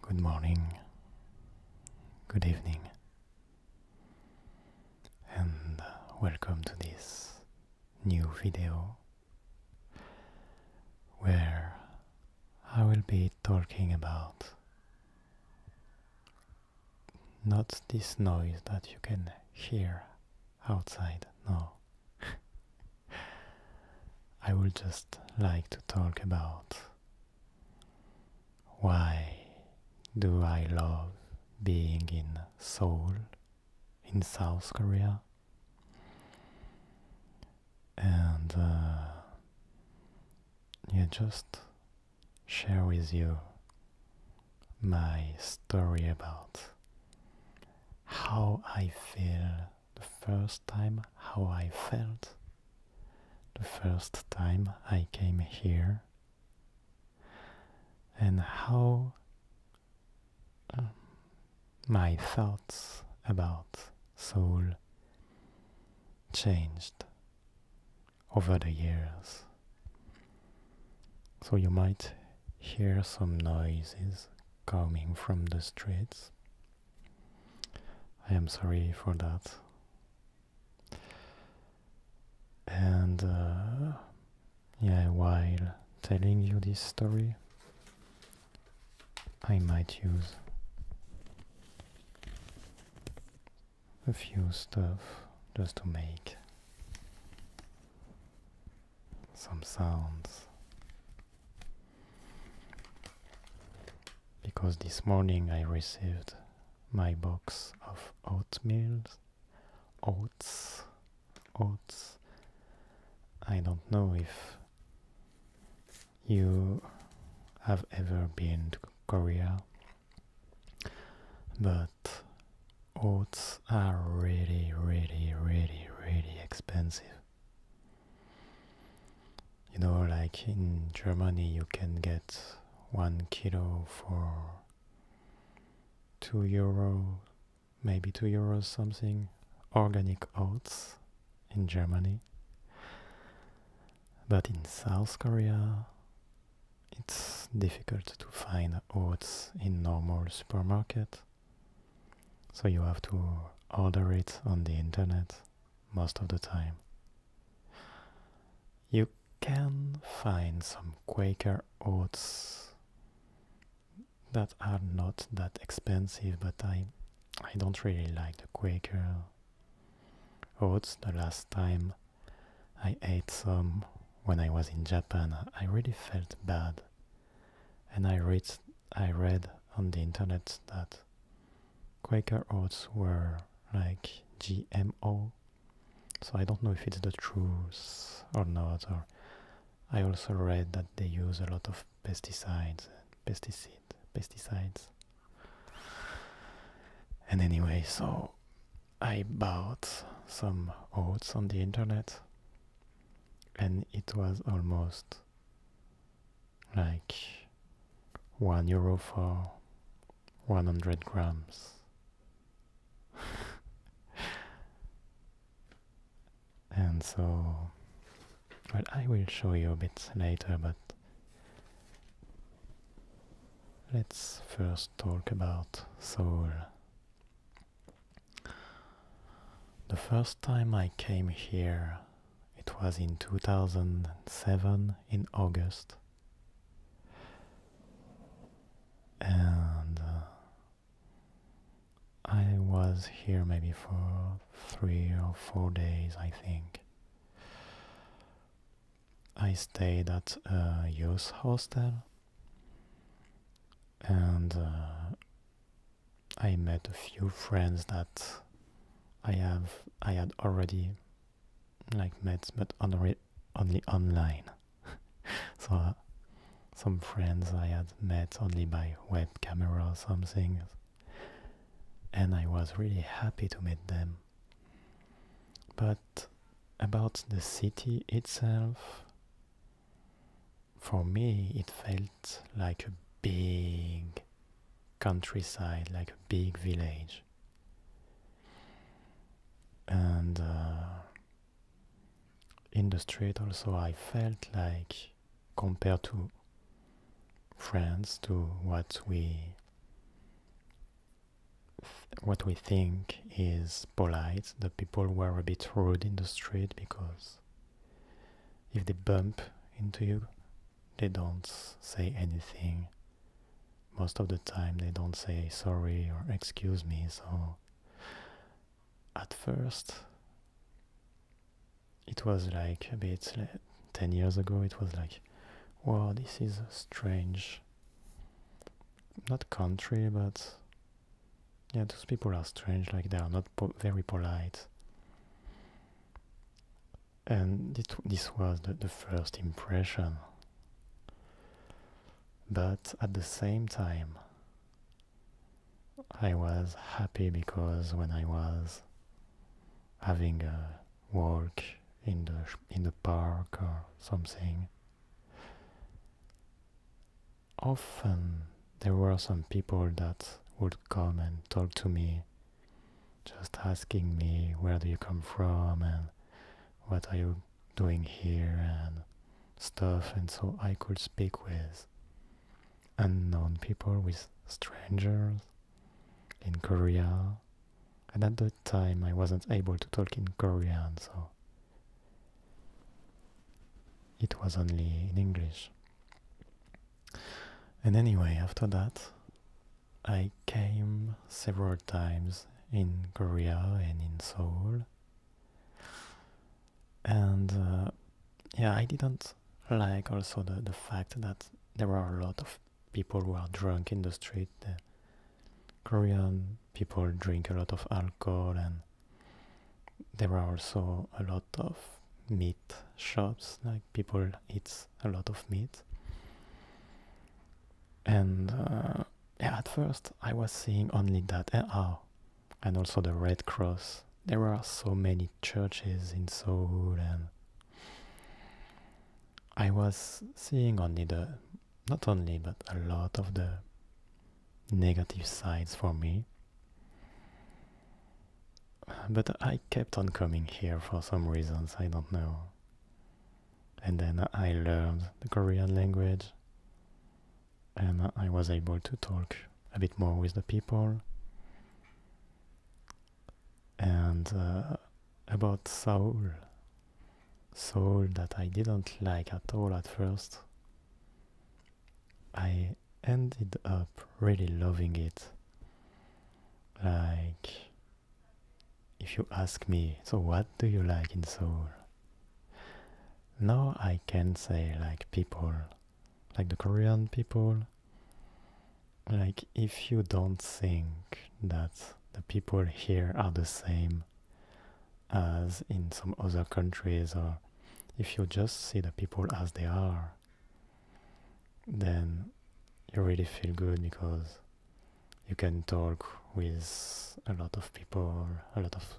Good morning, good evening, and welcome to this new video where I will be talking about not this noise that you can hear outside now. I would just like to talk about why do I love being in Seoul, in South Korea? And uh, just share with you my story about how I feel the first time how I felt, the first time I came here, and how um, my thoughts about soul changed over the years. So you might hear some noises coming from the streets. I am sorry for that. And uh, yeah, while telling you this story, I might use a few stuff just to make some sounds. Because this morning I received my box of oatmeal, oats, oats. I don't know if you have ever been to Korea, but oats are really, really, really, really expensive you know like in germany you can get one kilo for two euro maybe two euros something organic oats in germany but in south korea it's difficult to find oats in normal supermarket so you have to order it on the internet most of the time. You can find some Quaker oats that are not that expensive, but I I don't really like the Quaker oats. The last time I ate some when I was in Japan, I really felt bad and I read, I read on the internet that Quaker oats were like GMO. So I don't know if it's the truth or not. Or I also read that they use a lot of pesticides, pesticide, pesticides. And anyway, so I bought some oats on the internet, and it was almost like one euro for 100 grams. and so, well, I will show you a bit later, but let's first talk about soul. The first time I came here, it was in 2007 in August. And uh, I was here maybe for three or four days, I think. I stayed at a youth hostel and uh, I met a few friends that I have I had already like met but only online so uh, some friends I had met only by webcam or something and I was really happy to meet them but about the city itself for me, it felt like a big countryside, like a big village. And uh, in the street, also, I felt like compared to France, to what we what we think is polite. The people were a bit rude in the street because if they bump into you, they don't say anything. Most of the time, they don't say sorry or excuse me, so at first, it was like a bit 10 years ago, it was like, wow, this is strange. Not country, but yeah, those people are strange, like they are not very polite. And it, this was the, the first impression. But at the same time, I was happy because when I was having a walk in the in the park or something often there were some people that would come and talk to me, just asking me, Where do you come from? and what are you doing here? and stuff. And so I could speak with unknown people, with strangers in Korea. And at that time, I wasn't able to talk in Korean, so it was only in English. And anyway, after that, I came several times in Korea and in Seoul. And uh, yeah, I didn't like also the, the fact that there were a lot of people who are drunk in the street. Korean people drink a lot of alcohol and there are also a lot of meat shops, like people eat a lot of meat. And uh, yeah, at first I was seeing only that, and oh, and also the Red Cross. There are so many churches in Seoul, and I was seeing only the, not only, but a lot of the negative sides for me. But I kept on coming here for some reasons, I don't know. And then I learned the Korean language and I was able to talk a bit more with the people. And uh, about Seoul. Seoul that I didn't like at all at first. I ended up really loving it. Like, if you ask me, so what do you like in Seoul? Now I can say, like, people, like the Korean people. Like, if you don't think that the people here are the same as in some other countries or if you just see the people as they are, then you really feel good because you can talk with a lot of people, a lot of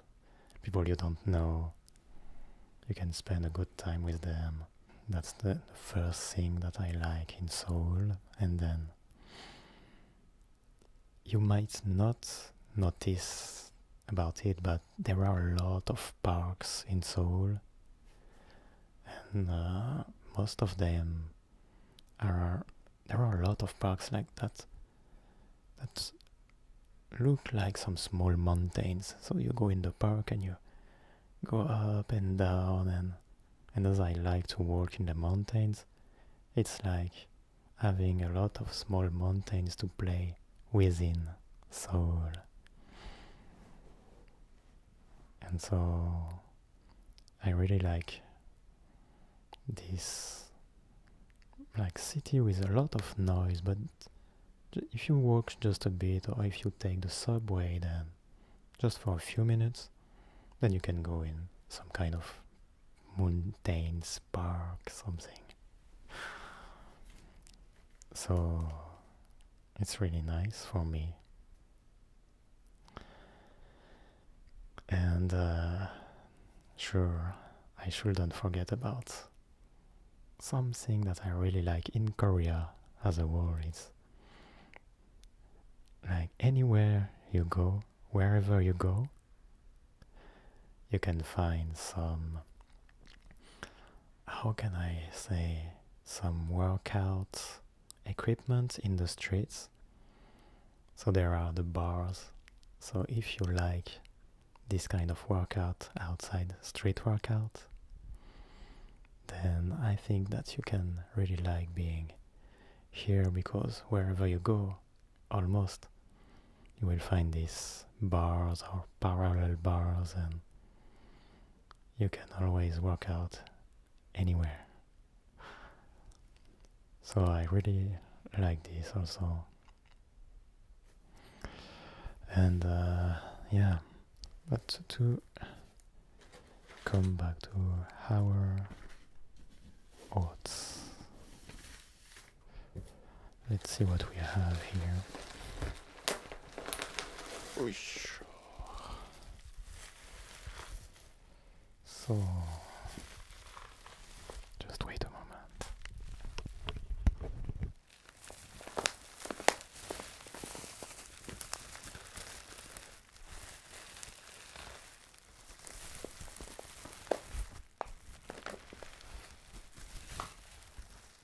people you don't know. You can spend a good time with them. That's the first thing that I like in Seoul. And then you might not notice about it, but there are a lot of parks in Seoul, and uh, most of them are there are a lot of parks like that that look like some small mountains. So you go in the park and you go up and down, and and as I like to walk in the mountains, it's like having a lot of small mountains to play within Seoul, And so I really like this like city with a lot of noise, but if you walk just a bit or if you take the subway then just for a few minutes, then you can go in some kind of mountains park, something. So it's really nice for me. And uh, sure, I shouldn't forget about something that I really like in Korea as a whole is like anywhere you go, wherever you go, you can find some how can I say, some workout equipment in the streets. So there are the bars. So if you like this kind of workout outside, street workout, then I think that you can really like being here because wherever you go, almost, you will find these bars or parallel bars and you can always work out anywhere. So I really like this also. And uh, yeah, but to come back to our odds. Let's see what we have here. So, just wait a moment.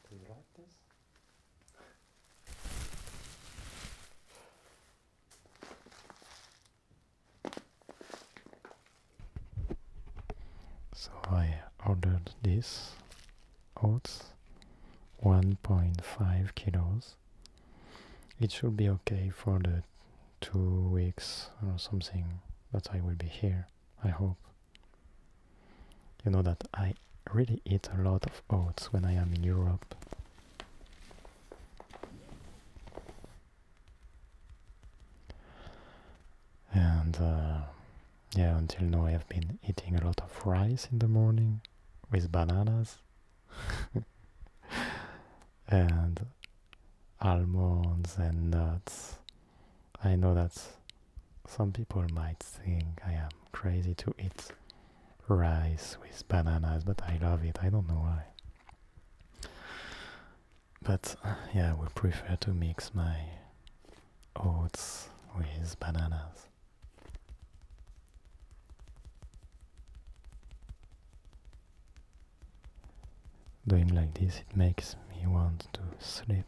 Do you like this? So I ordered this oats 1.5 kilos. It should be okay for the two weeks or something that I will be here. I hope. You know that I really eat a lot of oats when I am in Europe. And uh, yeah, until now I have been eating a lot of rice in the morning with bananas and almonds and nuts I know that some people might think I am crazy to eat rice with bananas, but I love it. I don't know why. But uh, yeah, I would prefer to mix my oats with bananas. Doing like this, it makes me want to sleep.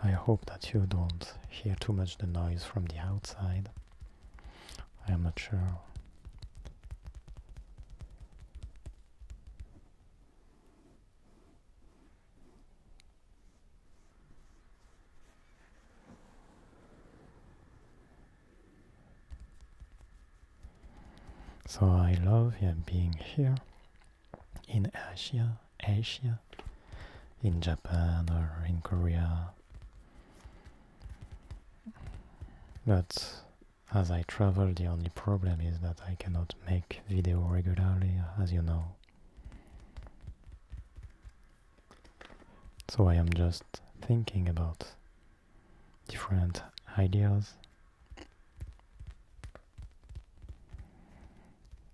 I hope that you don't hear too much the noise from the outside. I am not sure. So I love being here in Asia, Asia, in Japan or in Korea. But as I travel, the only problem is that I cannot make video regularly, as you know. So I am just thinking about different ideas.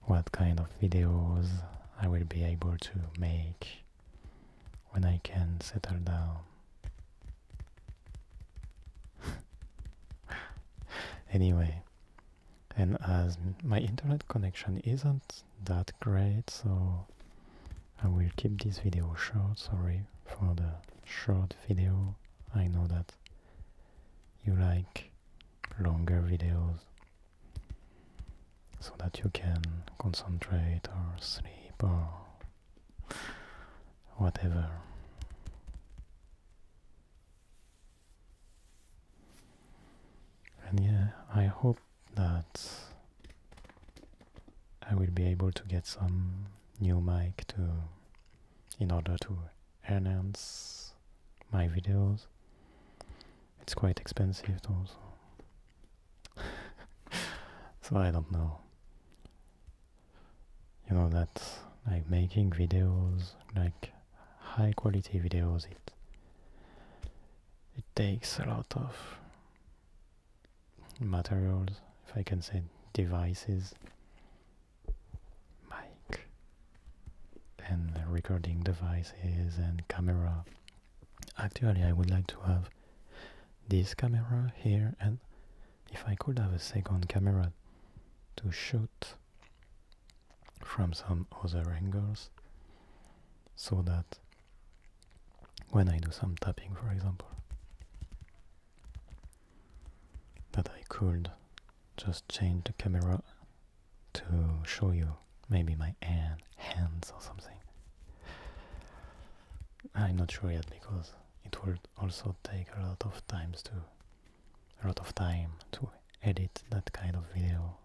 What kind of videos I will be able to make when I can settle down. anyway, and as my internet connection isn't that great so I will keep this video short sorry for the short video I know that you like longer videos so that you can concentrate or sleep or whatever and yeah, I hope that I will be able to get some new mic to in order to announce my videos. It's quite expensive also. so I don't know. You know that like making videos like high quality videos it it takes a lot of materials if I can say devices mic and recording devices and camera actually I would like to have this camera here and if I could have a second camera to shoot from some other angles so that when I do some tapping for example that I could just change the camera to show you maybe my hand, hands or something I'm not sure yet because it would also take a lot of times to a lot of time to edit that kind of video.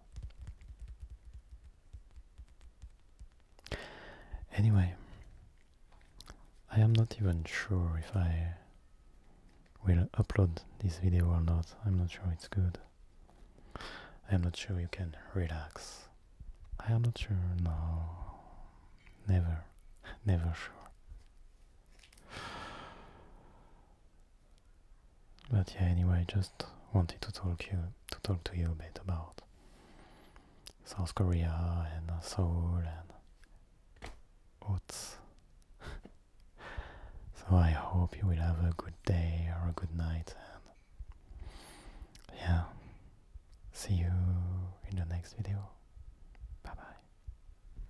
Anyway, I am not even sure if I will upload this video or not. I'm not sure it's good. I am not sure you can relax. I am not sure, no. Never, never sure. But yeah, anyway, I just wanted to talk you to talk to you a bit about South Korea and Seoul and what's. so I hope you will have a good day or a good night, and yeah, see you in the next video. Bye bye.